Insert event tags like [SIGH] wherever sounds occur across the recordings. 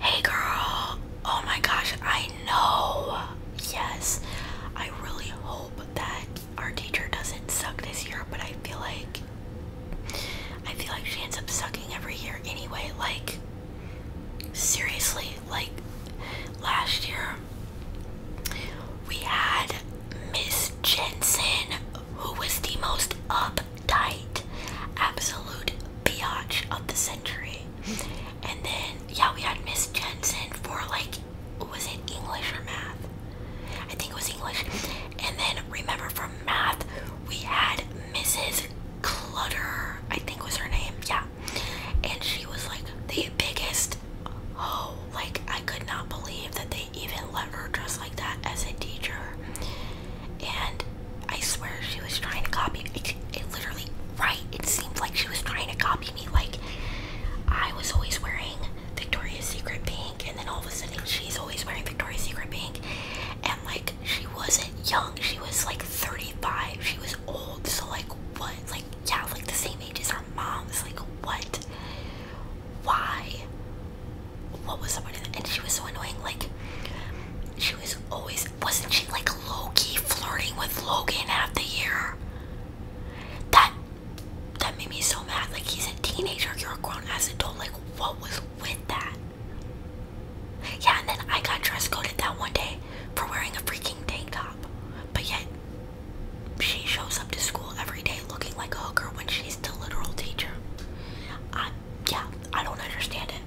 Hey girl! Oh my gosh, I know! Yes, I really hope that our teacher doesn't suck this year, but I feel like I feel like she ends up sucking every year anyway. Like, seriously, like last year we had Miss Jensen, who was the most up tight, absolute biatch of the century. And then, yeah, we had Miss Jensen for like, was it English or math? I think it was English. And then, remember from math, we had Mrs. Clutter, I think was her name, yeah. And she was like the biggest oh, like I could not believe that they even let her dress like that as a teacher. And I swear she was trying to copy it, it literally right it seemed like she was trying to copy me like I was always wearing Victoria's Secret pink and then all of a sudden she's always wearing Victoria's Secret pink and like she wasn't young she was like 35 she was old so like what like yeah like the same age as her mom. moms like what why what was somebody and she was so annoying like she was always wasn't she like low-key flirting with Logan half the year that that made me so mad like he's a teenager you're a grown-ass adult like what was with that yeah and then I got dress coded that one day for wearing a freaking tank top but yet she shows up to school every day looking like a hooker when she's the literal teacher I yeah, I don't understand it.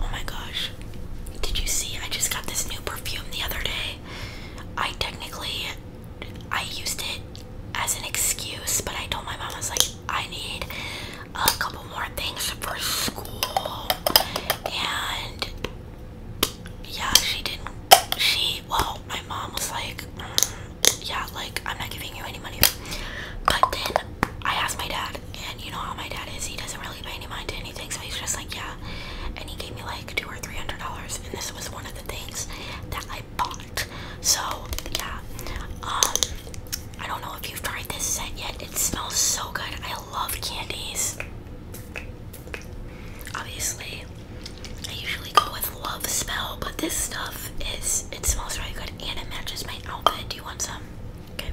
Oh my gosh. Did you see? I just got this new perfume the other day. I technically I used it as an excuse, but I told my mom I was like, I need a couple more things for school. And yeah, she didn't she well, my mom was like, mm, yeah, like I'm not giving you any money. But then I asked my dad, and you know how my dad is, he doesn't really pay any mind to anything, so he's just like, yeah. And he gave me like two or three hundred dollars, and this was one of the things that I bought. So yeah, um, I don't know if you've tried this scent yet. It smells so good. I love candies. Obviously, I usually usually go with Love Smell, but this stuff is, it smells really good and it matches my outfit. Do you want some? Okay.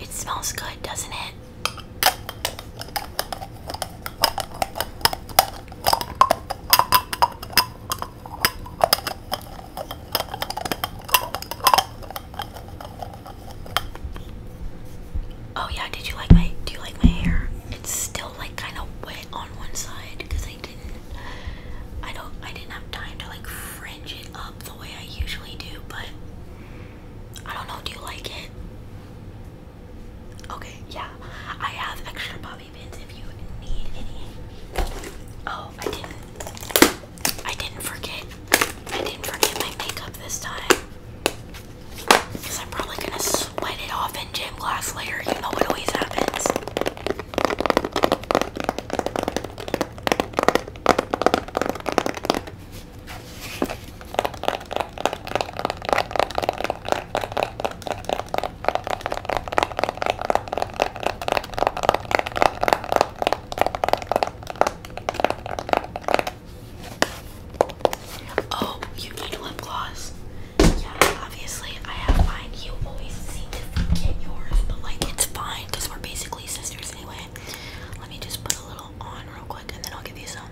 It smells good, doesn't it? Oh yeah, did you like my do you like my hair? It's still like kind of wet on one side I didn't I don't I didn't have time to like fringe it up the way I usually do, but I don't know, do you like it? Okay, yeah. I have extra bobby pins if you need any. Oh, I didn't I didn't forget. I didn't forget my makeup this time. Because I'm probably gonna sweat it off in jail damn glass later, you know what always happens. Oh, you need lip gloss yeah, obviously I have mine. You always seem to get yours, but like it's fine because we're basically sisters anyway. Let me just put a little on real quick and then I'll give you some.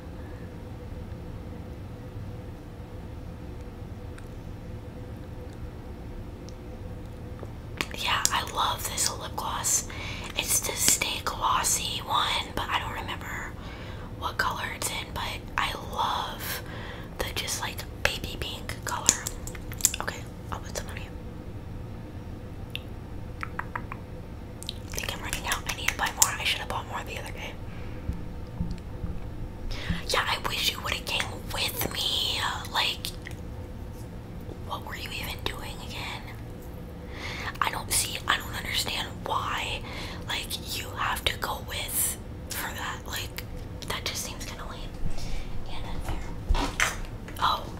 Yeah, I love this lip gloss. It's the Stay Glossy one, but I don't remember what color it's in, but I love the just like baby pink color. Okay, I'll put some on you. I think out. I need to buy more. I should have bought more the other day. Yeah, I wish you would have came with me. Like, what were you even doing again? I don't see, I don't understand why, like, you have to go with for that. Like, that just seems kind of lame and unfair. Oh.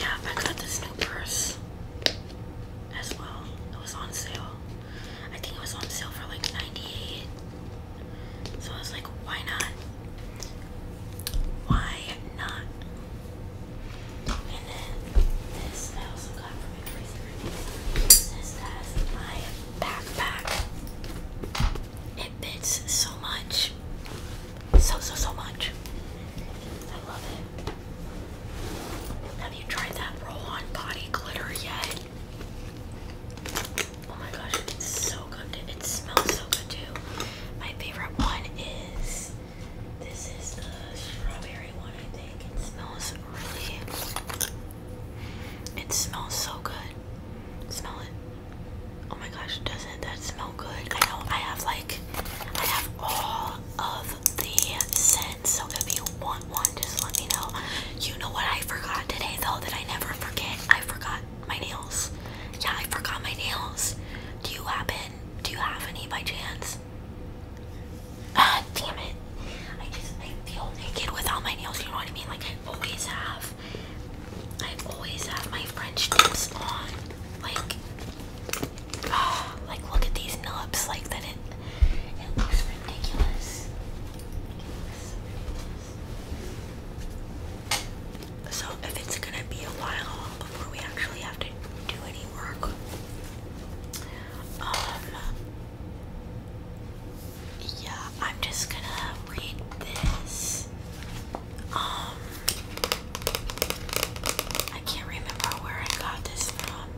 Yeah, I got this new purse as well. It was on sale. I think it was on sale for like 98. So I was like, why not? Why not? Oh, this I also got from a freezer. This has my backpack. It fits so much. So, so, so much. I love it. Have you tried that roll-on body glitter yet? Oh my gosh, it's so good. It smells so good too. My favorite one is this is the strawberry one, I think. It smells really. It smells so good. Smell it. Oh my gosh, doesn't that smell good? I know I have like I have all of the scents, so if you want one, just let me know. You know what I forgot today though that I never forget? I forgot my nails. Yeah, I forgot my nails. Do you happen? Do you have any by chance? Ah, damn it. I just I feel naked with all my nails, you know what I mean? Like I always have I always have my French tips on. Like oh, like look at these nubs, like that it it looks ridiculous. So if it's gonna be a while before we actually have to do any work, um, yeah, I'm just gonna read this. Um, I can't remember where I got this from.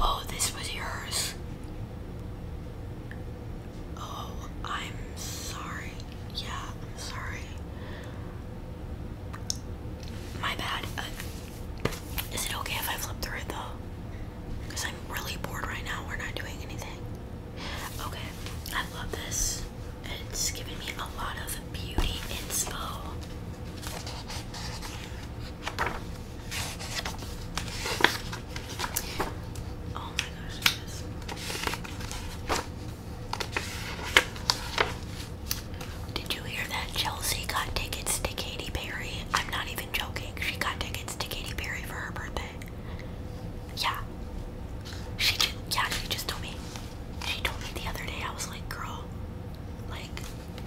Oh, this was yours. Oh, I'm sorry. Yeah, I'm sorry. My bad. Uh, is it okay if I flip through it though? Because I'm really bored right now. We're not doing anything. Okay, I love this. It's giving me a lot of beauty inspo. Oh my gosh, this. Did you hear that Chelsea got tickets to Katy Perry? I'm not even joking. She got tickets to Katy Perry for her birthday. Yeah. She just, yeah, she just told me. She told me the other day. I was like, girl, like,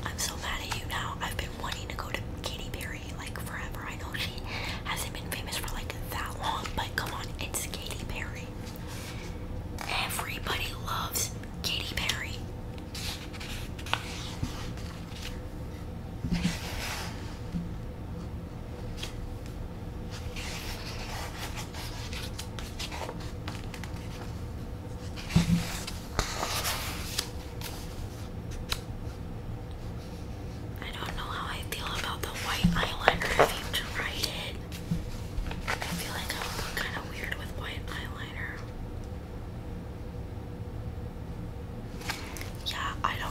I'm so mad at you now. I've been wanting to go to Katy Perry like forever. I know she hasn't been famous for like that long, but come on, it's Katy Perry. Everybody loves Katy Perry. I don't know how I feel about the white eyeliner. I think to write I feel like I would look kind of weird with white eyeliner. Yeah, I don't know.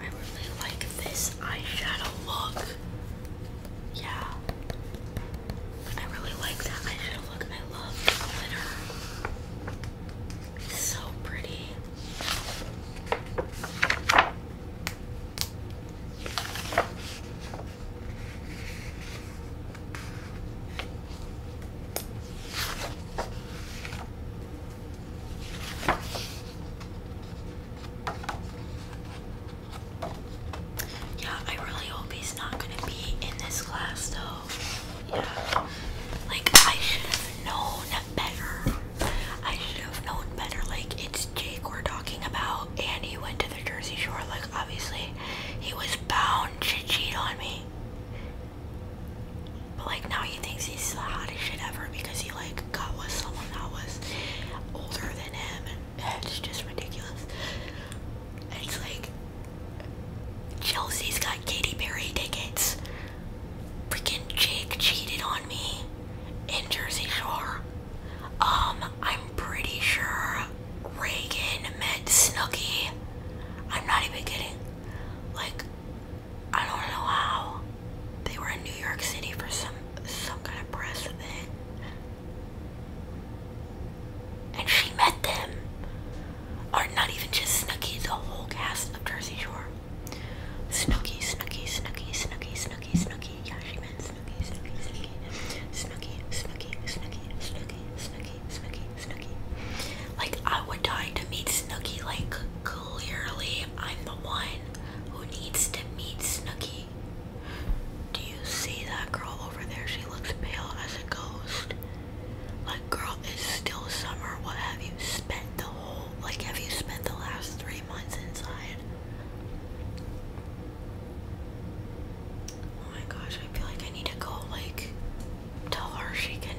I really like this eyeshadow look. Yeah. I really like that eyeshadow look. I love glitter. It's so pretty. Yeah, I really hope he's not gonna be in this class though. Yeah. Like I should have known better. I should have known better. Like it's Jake we're talking about and he went to the Jersey Shore. Like obviously he was bound to cheat on me. But like now he thinks he's the hottest shit ever because he like got with someone that was older than him and it's just ridiculous. And he's like Chelsea's got Katy Perry tickets. Freaking Jake cheated on me in Jersey Shore. Um, I'm pretty sure Reagan met Snooki. I'm not even kidding. Like I don't know how. They were in New York City for some some kind of press event. And she met them. Or not even just Snooki, the whole cast of Jersey Shore. Snooki, Snooki, Snooki, Snooki, Snooki, Snooki. Yeah, she meant Snooki, Snooki, Snooki. Snooki, Snooki, Snooki, Snooki, Snooki, Snooki, Snooki, like, I would die to meet Snooki. Like, clearly, I'm the one who needs to meet Snooki. Do you see that girl over there? She looks pale as a ghost. Like, girl, it's still summer. What have you spent the whole, like, have you spent the last three months inside? Oh my gosh, I feel like I need to go, like, tell her she can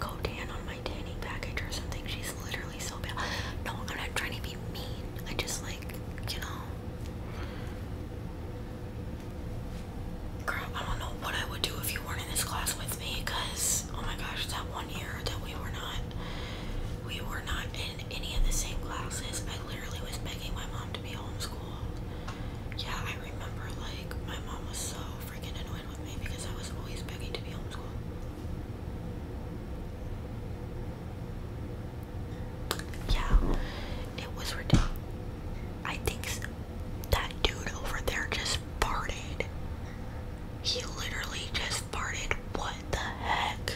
go tan on my tanning package or something. She's literally so pale. No, I'm not trying to be mean. I just like, you know. Girl, I don't know what I would do if you weren't in this class with me, cause oh my gosh, that one year that we were not, we were not in any of the same classes. I literally was begging my mom to be homeschooled. Yeah, I remember like my mom was so freaking annoyed with me because I was always begging to be homeschooled. Yeah, it was ridiculous. I think that dude over there just farted. He literally just farted. What the heck?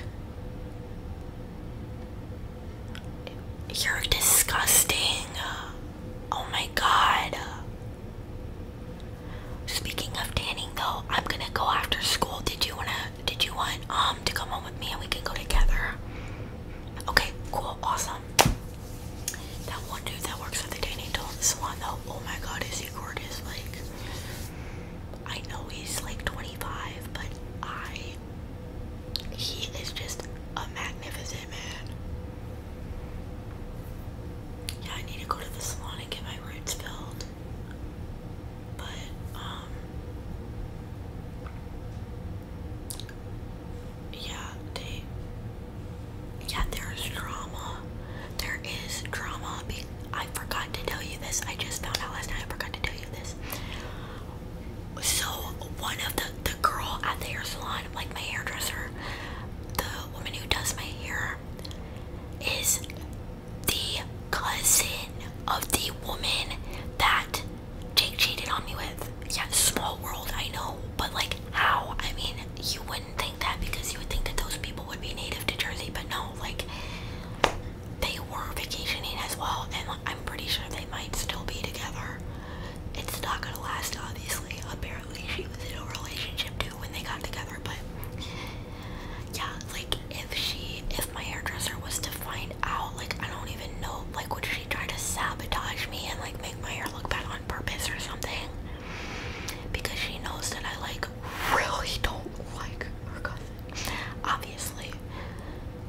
You're disgusting. Oh my god. Speaking of tanning though, I'm gonna go after school. Did you wanna did you want um to come home with me and we can go together? Okay, cool, awesome. That one dude that works at the tanning salon though, oh my god, is he gorgeous? Like I know he's like 25, but I he is just a magnificent man. Yeah, I need to go to the salon and get my roots filled. But, um, yeah, they, yeah, there is drama. There is drama. I forgot to tell you this. I just found out last night. I forgot to tell you this. So, one of the, the girl at the hair salon like my hairdresser, the woman who does my hair is the cousin of the woman that Jake cheated on me with. Yeah, small world, I know, but like how? I mean, you wouldn't think that because you would think that those people would be native to Jersey, but no, like they were vacationing as well, and I'm pretty sure they might still be together. It's not gonna last, obviously. Apparently, she was in a relationship too when they got together, but yeah, like if she, if my hairdresser was to find out, like I don't even know, like would she try to sabotage me and like make my hair look bad on purpose or something? Because she knows that I like really don't like her cousin, obviously.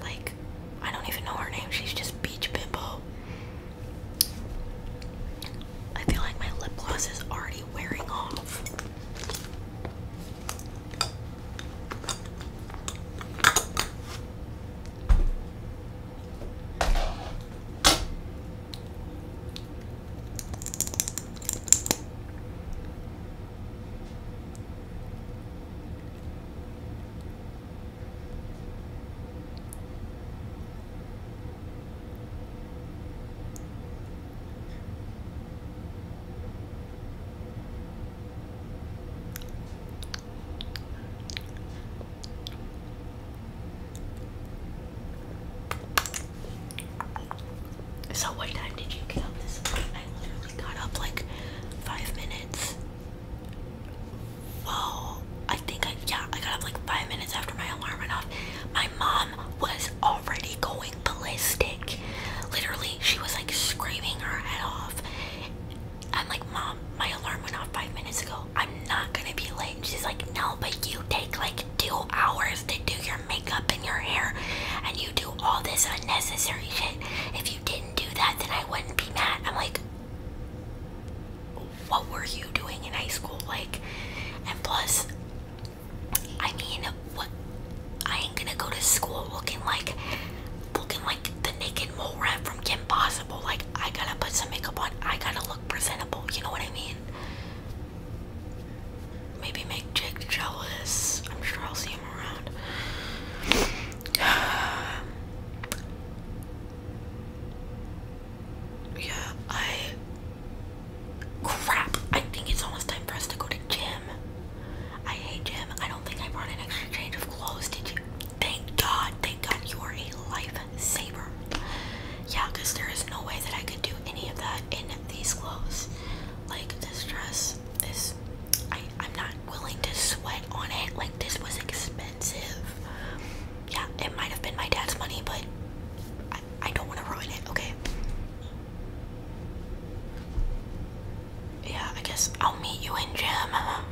Like, I don't even know her name. She's just Beach Bimbo. I feel like my lip gloss is already wearing off. So what time did you get up I literally got up like five minutes Whoa, I think I, yeah, I got up like five minutes after my alarm went off. My mom was already going ballistic. Literally, she was like screaming her head off. I'm like, Mom, my alarm went off five minutes ago. I'm not gonna be late. And she's like, No, but you take like two hours to do your makeup and your hair, and you do all this unnecessary shit. If you didn't do that, then I wouldn't be mad. I'm like, what were you doing in high school? Like, and plus, I mean, what? I ain't gonna go to school looking like, looking like the naked mole rat from Kim Possible. Like, I gotta put some makeup on. I gotta look presentable. You know what I mean? Maybe make Jake jealous. I'm sure I'll see him around. [SIGHS] yeah, I crap. I think it's almost time for us to go to gym. I hate gym. I don't think I brought an extra change of clothes. Did you? Thank God. Thank God you are a lifesaver. Yeah, because there is no way that I could do any of that in these clothes. Like this dress this. I, am not willing to sweat on it. Like, this was expensive. Yeah, it might have been my dad's money, but I don't want to ruin it, okay? Yeah, I guess I'll meet you in gym. Oh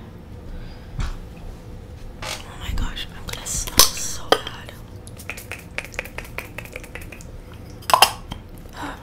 my gosh, I'm gonna smell so bad.